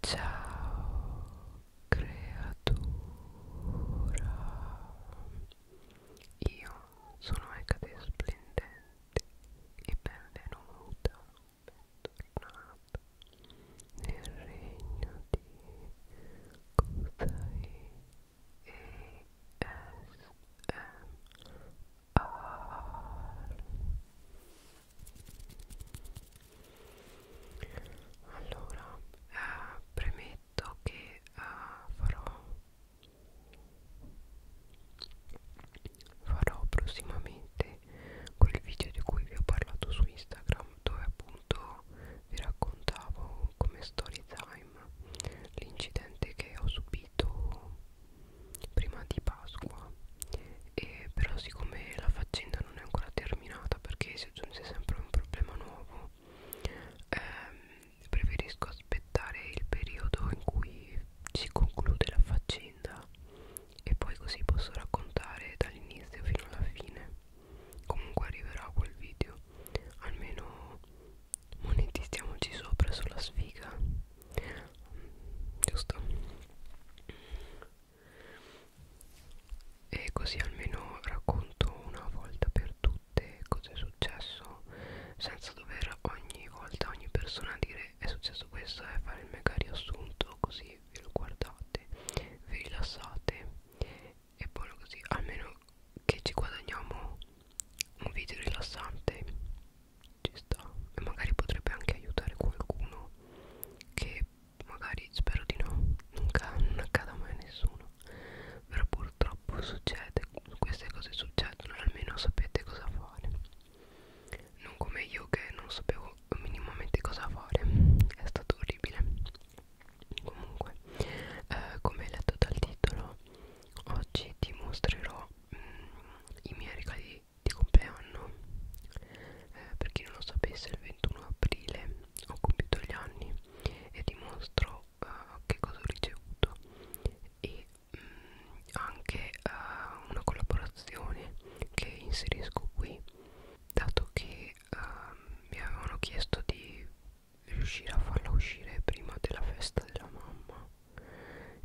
Ciao creatura, io sono Ecate Splendente e benvenuta, bentornata nel regno di Kutai e A. allora eh, premetto che eh, farò farò prossimamente quel video di cui vi ho parlato su Instagram dove appunto vi raccontavo come story time l'incidente che ho subito prima di Pasqua e però siccome la faccenda non è ancora terminata perché si aggiunge sempre un problema nuovo ehm, preferisco aspettare il periodo in cui si conclude la faccenda e poi così posso raccontare dall'inizio fino alla fine comunque arriverà quel video almeno monetizziamoci sopra sulla sfiga giusto e così almeno racconto una volta per tutte cosa è successo senza dover ogni volta ogni persona dire è successo questo e fare il mega riassunto così ve lo guardate vi rilassate e poi così almeno che ci guadagniamo un video rilassante ci sta e magari potrebbe anche aiutare qualcuno che magari spero di no non, non accada mai a nessuno però purtroppo succede queste cose succedono almeno sapete cosa fare non come io che non sapevo minimamente cosa fare è stato orribile comunque eh, come letto dal titolo oggi ti mostrerò mh, mm, i miei regali di compleanno eh, per chi non lo sapesse il 21 aprile ho compiuto gli anni e dimostro uh, che cosa ho ricevuto e mh, mm, anche uh, una collaborazione che inserisco qui dato che uh, mi avevano chiesto di riuscire a farla uscire prima della festa della mamma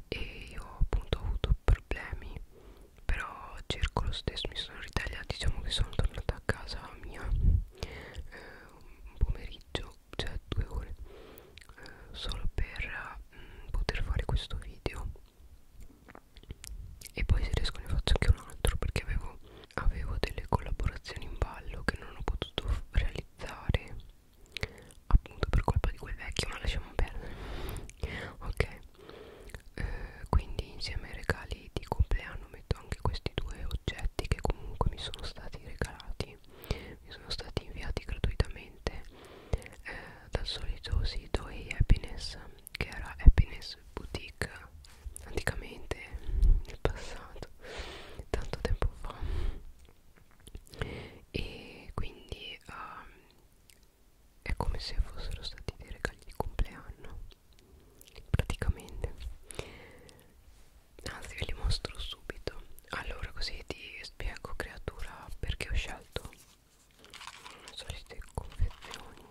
e io appunto ho avuto problemi però cerco lo stesso mi sono ritagliata diciamo che sono tornata a casa mia eh, un pomeriggio cioè due ore eh, solo per mh, mm, poter fare questo video e poi se riesco ne faccio anche un altro perché avevo, avevo delle collaborazioni in ballo che non ho potuto realizzare appunto per colpa di quel vecchio ma lasciamo perdere ok eh, quindi insieme ai regali di compleanno metto anche questi due oggetti che comunque mi sono stati regalati mi sono stati inviati gratuitamente eh, dal solito sito e happiness che era happiness boutique anticamente nel passato tanto tempo fa e quindi um, è come se fossero stati dei regali di compleanno praticamente anzi ve li mostro subito allora così ti spiego creatura perché ho scelto le solite confezioni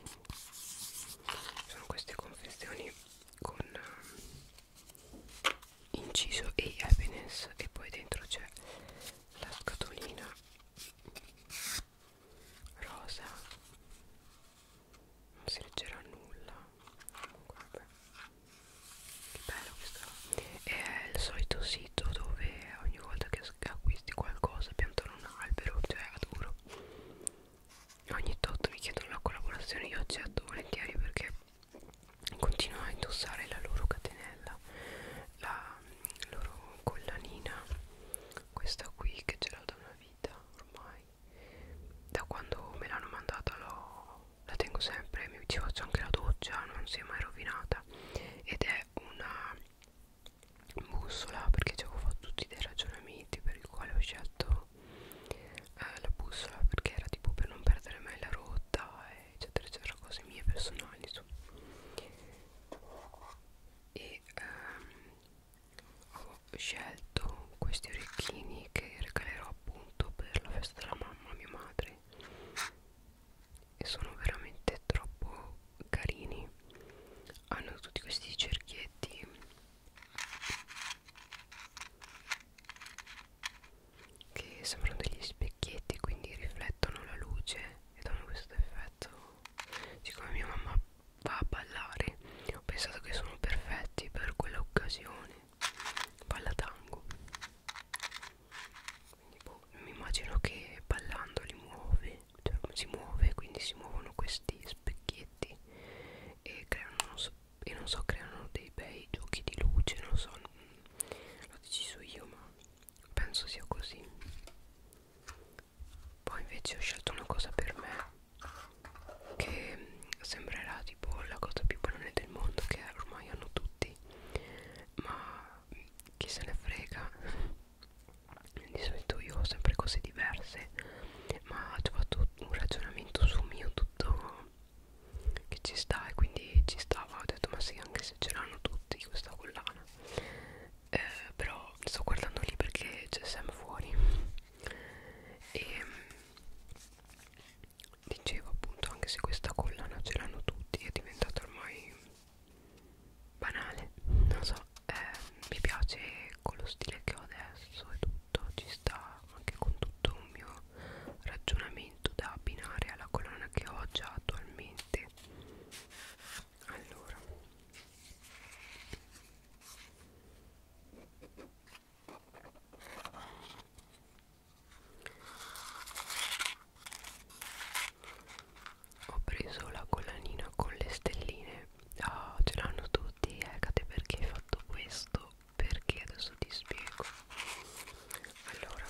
sono queste confezioni con eh, inciso e happiness e poi dentro c'è la scatolina rosa non si leggerà nulla comunque vabbè che bello questo è il solito sito dove ogni volta che acquisti qualcosa piantano un albero cioè adoro ogni tot mi chiedono la collaborazione io accetto volentieri perché continuo a indossare la loro catenella la loro collanina questa qui che ce l'ho da una vita ormai da quando me l'hanno mandata la tengo sempre mi ci faccio anche la doccia non si è mai rovinata ed è una bussola perché ci avevo fatto tutti dei ragionamenti per il quale ho scelto eh, la bussola perché era tipo per non perdere mai la rotta eccetera eccetera cose mie personali insomma e ehm, ho scelto questi orecchini che regalerò appunto per la festa della mamma a mia madre e sono veramente troppo carini hanno tutti questi cerchietti che sembrano degli specchietti quindi riflettono la luce e danno questo effetto siccome mia mamma va a ballare ho pensato che sono perfetti per quell'occasione balla tango quindi boh, mi immagino che ballando li muove cioè si muove quindi si muovono questi specchietti e creano non so, e non so creano dei bei giochi di luce non so mm, l'ho deciso io ma penso sia così poi invece ho scelto una cosa per me che sembrerà tipo la cosa più banale del mondo che ormai hanno tutti ma chi se ne frega di solito io ho sempre cose diverse ma ho fatto un ragionamento su mio tutto che ci sta e quindi ci stava ho detto ma sì anche se ce l'hanno tutti questa collana eh, però sto guardando lì perché c'è Sam fuori e mm, dicevo appunto anche se questa collana ce l'hanno tutti è diventata ormai banale non so eh, mi piace con lo stile che ho adesso e tutto ci sta anche con tutto un mio ragionamento da abbinare alla collana che ho già attualmente allora ho preso la collanina con le stelline. Ah, oh, ce l'hanno tutti, Ecate, eh, perché hai fatto questo? Perché adesso ti spiego. Allora,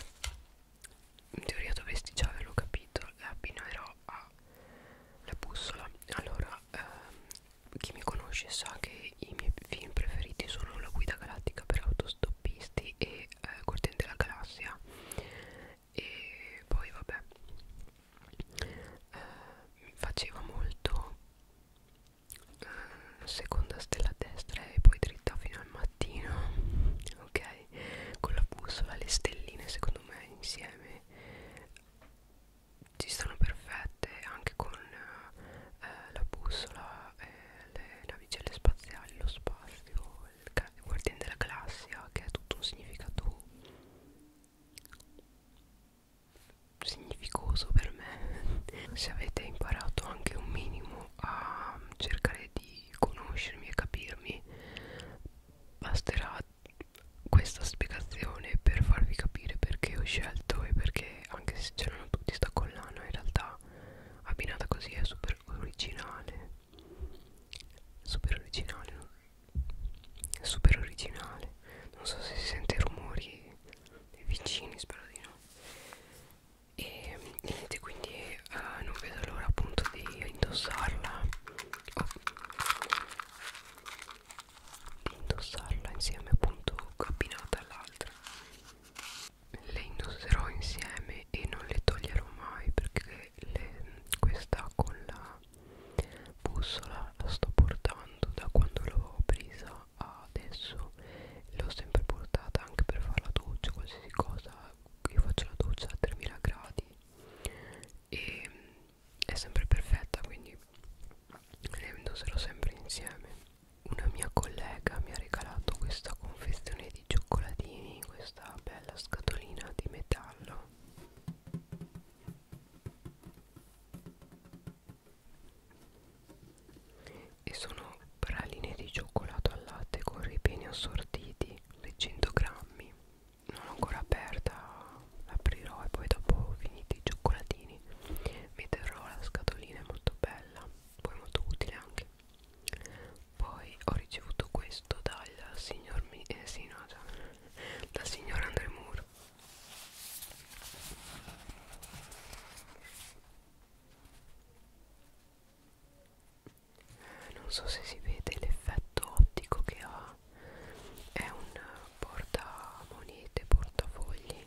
in teoria dovresti già averlo capito, la abbinerò ha la bussola allora ehm, chi mi conosce sa che i miei film preferiti sono La guida galattica per autostoppisti e eh, Corten della galassia e poi vabbè eh, mi faceva molto eh, seconda stella a destra e poi dritta fino al mattino ok con la bussola le stelline secondo me insieme ci stanno perfette anche con eh, eh, la bussola, eh, le navicelle spaziali, lo spazio, il, il guardiano della galassia che ha tutto un significato significoso per me. Se avete imparato anche un minimo a cercare di conoscermi e capirmi, basterà questa spiegazione per farvi capire perché ho scelto e perché anche se c'erano tutti sta collana in realtà abbinata così è super originale super originale no? super originale non so se si sente rumori vicini spero di no e niente quindi eh, non vedo l'ora appunto di indossarla oh indossarla insieme appunto combinata all'altra le indosserò insieme e non le toglierò mai perché le, questa con la bussola la sto portando da quando l'ho presa adesso l'ho sempre portata anche per fare la doccia qualsiasi cosa io faccio la doccia a 3000 gradi e è sempre perfetta quindi le indosserò sempre insieme una mia collega mi ha regalato questa confezione di cioccolatini questa bella scatolina di metallo e sono praline di cioccolato al latte con ripieni assortiti 100 grammi non l'ho ancora aperta l'aprirò e poi dopo finiti i cioccolatini metterò la scatolina è molto bella poi molto utile anche poi ho ricevuto questo dal signor Mi eh, sì, no, già, dal signor Andre Moore eh, non so se si vede l'effetto ottico che ha è un portamonete portafogli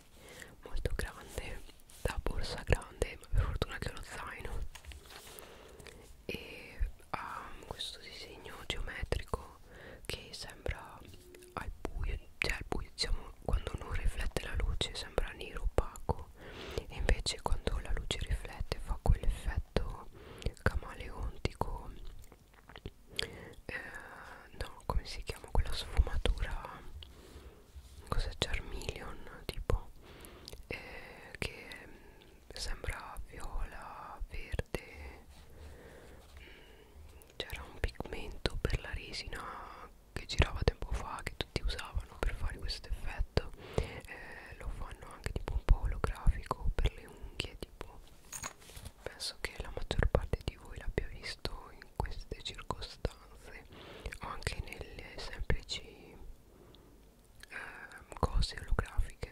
molto grande da borsa grande ma per fortuna che ho lo zaino e ha um, questo disegno geometrico che sembra al buio cioè al buio diciamo quando non riflette la luce sembra nero opaco e invece quando la luce riflette fa quell'effetto camaleontico eh, no come si chiama quella sfumatura cos'è Charmeleon tipo eh, che sembra viola verde mm, c'era un pigmento per la resina che girava tempo fa che tutti usavano per fare questo effetto eh, lo fanno anche tipo un po' olografico per le unghie tipo penso che la maggior parte di voi l'abbia visto in queste circostanze o anche nelle semplici eh, cose olografiche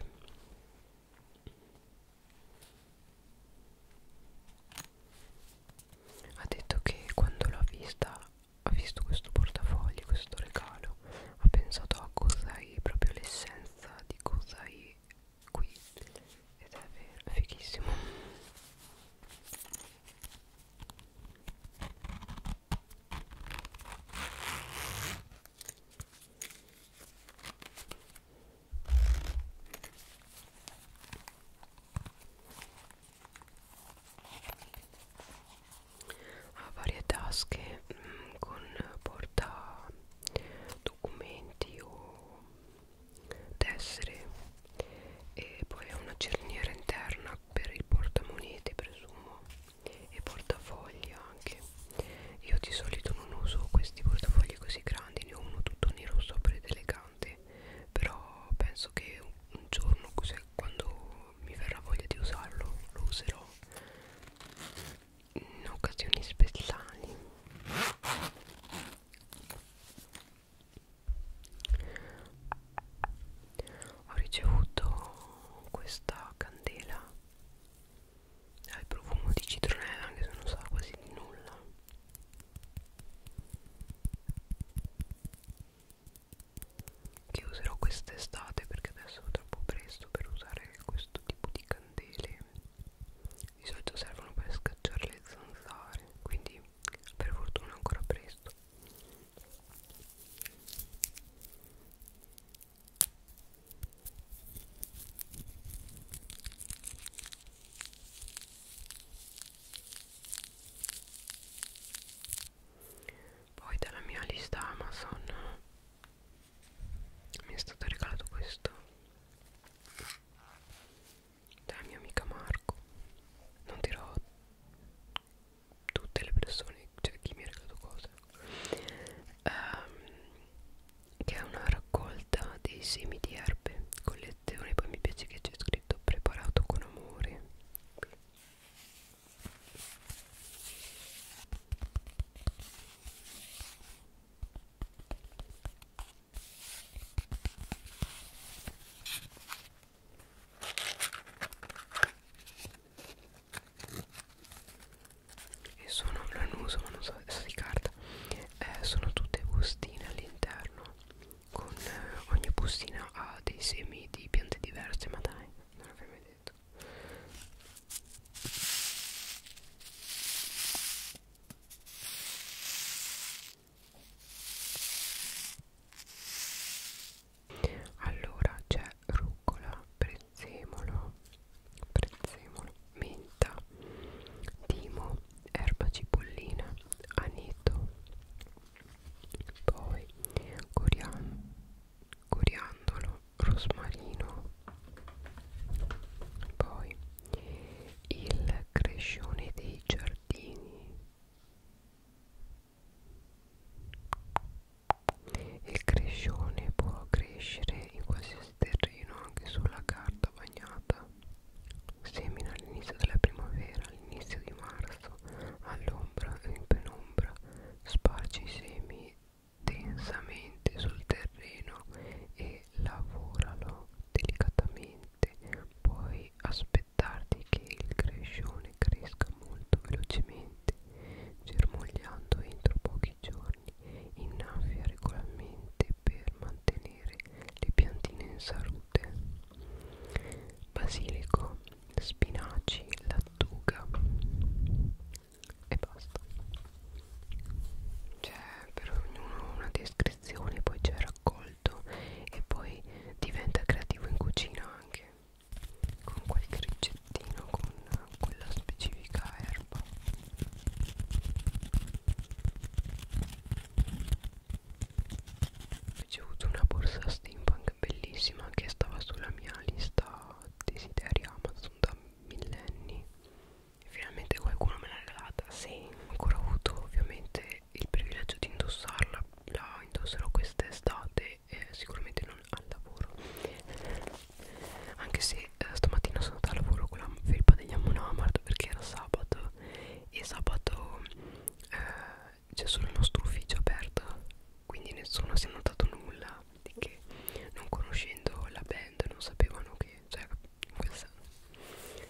ha detto che quando l'ha vista ha visto questo portafogli questo regalo ha pensato a cos'hai proprio l'essenza di cos'hai qui ed è vero, fighissimo ha varie tasche mh, mm, con porta documenti o tessere e poi ha una cerniera interna per il portamonete presumo e portafogli anche io di solito non uso questi portafogli così grandi ne ho uno tutto nero sopra ed elegante però penso che un giorno così quando mi verrà voglia di usarlo lo userò in occasioni speciali ho ricevuto questa candela al profumo di citronella anche se non sa quasi di nulla che userò quest'estate perché adesso è troppo presto per usare questo tipo di candele di solito servono per scacciare le zanzare quindi per fortuna ancora presto poi dalla mia lista Amazon mi è stato regalato questo dalla mia amica Marco non dirò tutte le persone cioè chi mi ha regalato cose um, che è una raccolta dei semi di erbe collezione poi mi piace che c'è scritto preparato con amore e sono non uso ma non so se di carta eh, sono tutte bustine all'interno con eh, ogni bustina ha dei semi di piante diverse ma dai non l'avrei mai detto allora c'è rucola, prezzemolo, prezzemolo, menta, timo, erba cipollina, aneto, poi corian, coriandolo, rosmarino, poi il crescione dei giardini il crescione può crescere in qualsiasi terreno anche sulla carta bagnata semina all'inizio della primavera all'inizio di marzo all'ombra e in penombra sparge i semi densamente sul terreno e e lavoralo delicatamente puoi aspettarti che il crescione cresca molto velocemente germogliando entro pochi giorni innaffia regolarmente per mantenere le piantine in salute basilico spinaci lattuga e basta c'è per ognuno una descrizione poi c'è raccolto e poi diventa creativo in cucina anche con qualche ricettino con quella specifica erba ho ricevuto una borsa steampunk bellissima che stava sulla mia lista desideri Amazon da millenni finalmente qualcuno me l'ha regalata se ancora avuto ovviamente il privilegio di indossarla la indosserò quest'estate eh, sicuramente non al lavoro anche se eh, stamattina sono andata al lavoro con la felpa degli Ammonamart perché era sabato e sabato eh, c'è solo il nostro ufficio aperto quindi nessuno si è notato nulla di che non conoscendo la band non sapevano che affari cioè in quel senso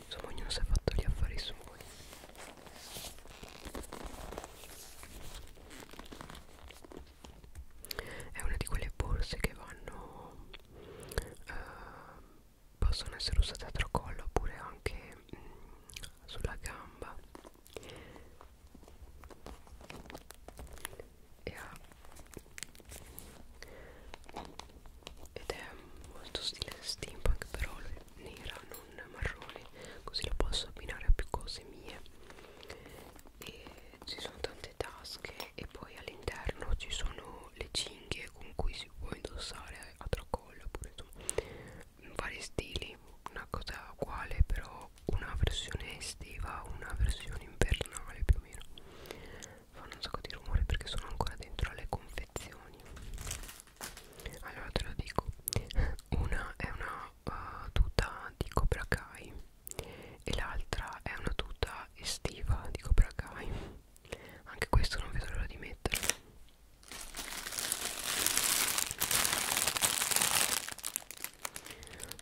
insomma ognuno si è fatto gli affari suoi è una di quelle borse che vanno uh, possono essere usate a tracollo oppure anche mh, mm, sulla gamba e ha ed è molto stile steampunk però nera non marrone così la posso abbinare a più cose mie e ci sono tante tasche e poi all'interno ci sono le cinghie con cui si può indossare a tracollo oppure insomma vari stili una cosa uguale però una versione estiva una versione invernale più o meno fanno un sacco di rumore perché sono ancora dentro alle confezioni allora te lo dico una è una uh, tuta di Cobra Kai e l'altra è una tuta estiva di Cobra Kai anche questo non vedo l'ora di metterlo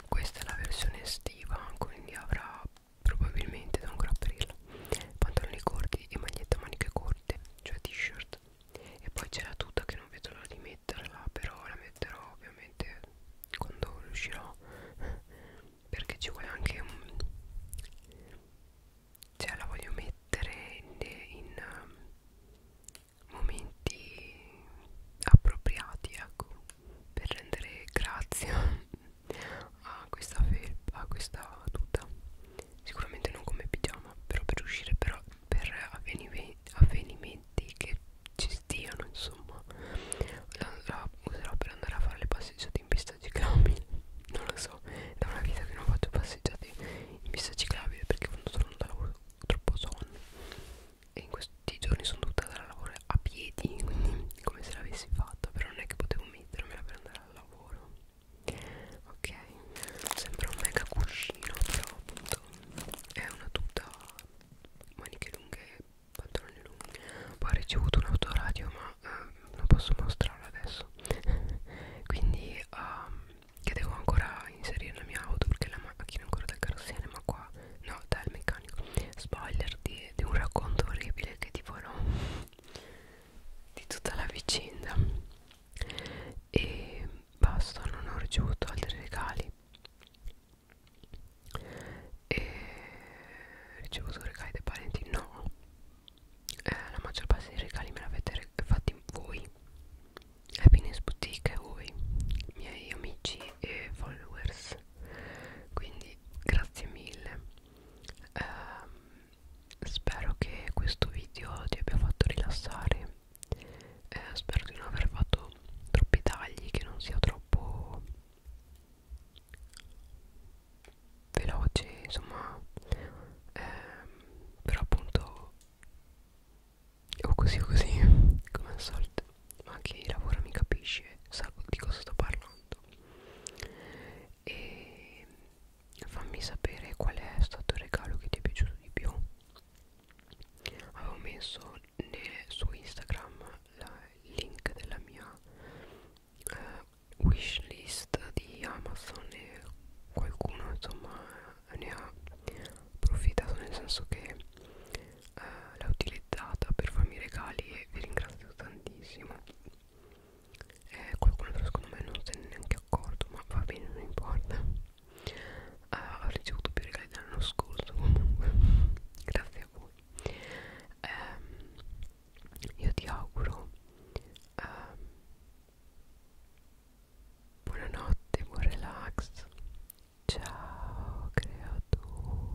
questa è la versione estiva quindi avrà probabilmente da un aprirla pantaloni corti e maglietta a maniche corte cioè t-shirt e poi c'è la tuta che non vedo l'ora di metterla però la metterò ovviamente quando riuscirò perché ci vuole anche un cioè la voglio mettere in, in um, momenti appropriati ecco per rendere grazia a questa felpa, a questa tuta sicuramente non come pigiama però per uscire però per avvenimenti, avvenimenti che ci stiano insomma la, la userò per andare a fare le passeggiate in pista ciclabile non lo so da una vita che non faccio passeggiate in pista ciclabile perché quando sono da lavoro ho troppo sonno e in questi giorni sono tutta da lavoro a piedi quindi come se l'avessi fatta però non è che potevo mettermela per andare al lavoro ok sembra un mega cuscino però appunto è una tuta maniche lunghe pantaloni lunghi poi ho ricevuto un autoradio ma eh, non posso mostrarlo adesso quindi um, che devo ancora inserire la mia auto perché la macchina è ancora dal carrozzene ma qua no dal meccanico spoiler di, di un racconto orribile che tipo no di tutta la vicenda e basta non ho ricevuto altri regali e ricevuto regali dai parenti no eh, la maggior parte dei regali me l'avete fatti voi happiness boutique voi miei amici e followers quindi grazie mille eh, spero che questo video ti abbia fatto rilassare eh, spero di non aver fatto troppi tagli che non sia troppo veloce insomma eh, però appunto o così o così come al solito ma chi lavora mi capisce sa di cosa sto parlando e fammi sapere qual è stato il regalo che ti è piaciuto di più avevo messo nel, su Instagram la, il link della mia eh, wishlist di Amazon e qualcuno insomma ne ha approfittato nel senso che eh, l'ha utilizzata per farmi regali e vi ringrazio tantissimo eh, qualcuno però secondo me non se ne è neanche accorto ma va bene non importa ha uh, eh, ricevuto più regali dell'anno scorso comunque grazie a voi um, io ti auguro um, buonanotte buon relax ciao creatura